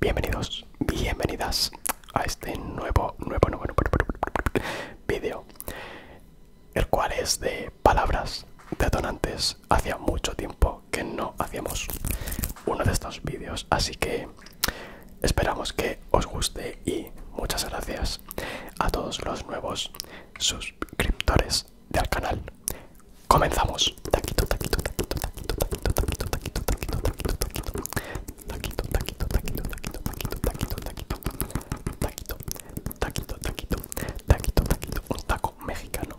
Bienvenidos, bienvenidas a este nuevo, nuevo, nuevo, nuevo, vídeo, el cual es de palabras detonantes. Hacía mucho tiempo que no hacíamos uno de estos vídeos, así que Esperamos que os guste y muchas gracias a todos los nuevos suscriptores del canal. Comenzamos. Taquito, taquito, taquito, taquito, taquito, taquito, taquito, taquito, taquito, taquito, taquito, taquito, taquito, taquito, taquito, taquito, mexicano.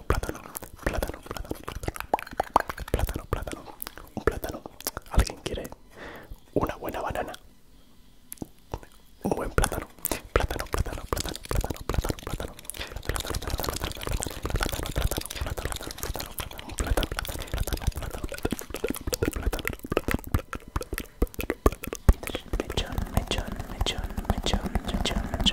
plátano, plátano, plátano, plátano, plátano, plátano, plátano, un plátano. ¿Alguien quiere una buena banana? Un buen plátano, plátano, plátano, plátano, plátano, plátano, plátano, plátano, plátano, plátano, plátano, plátano, plátano, plátano, un plátano, plátano, plátano, plátano, plátano, plátano, plátano, plátano,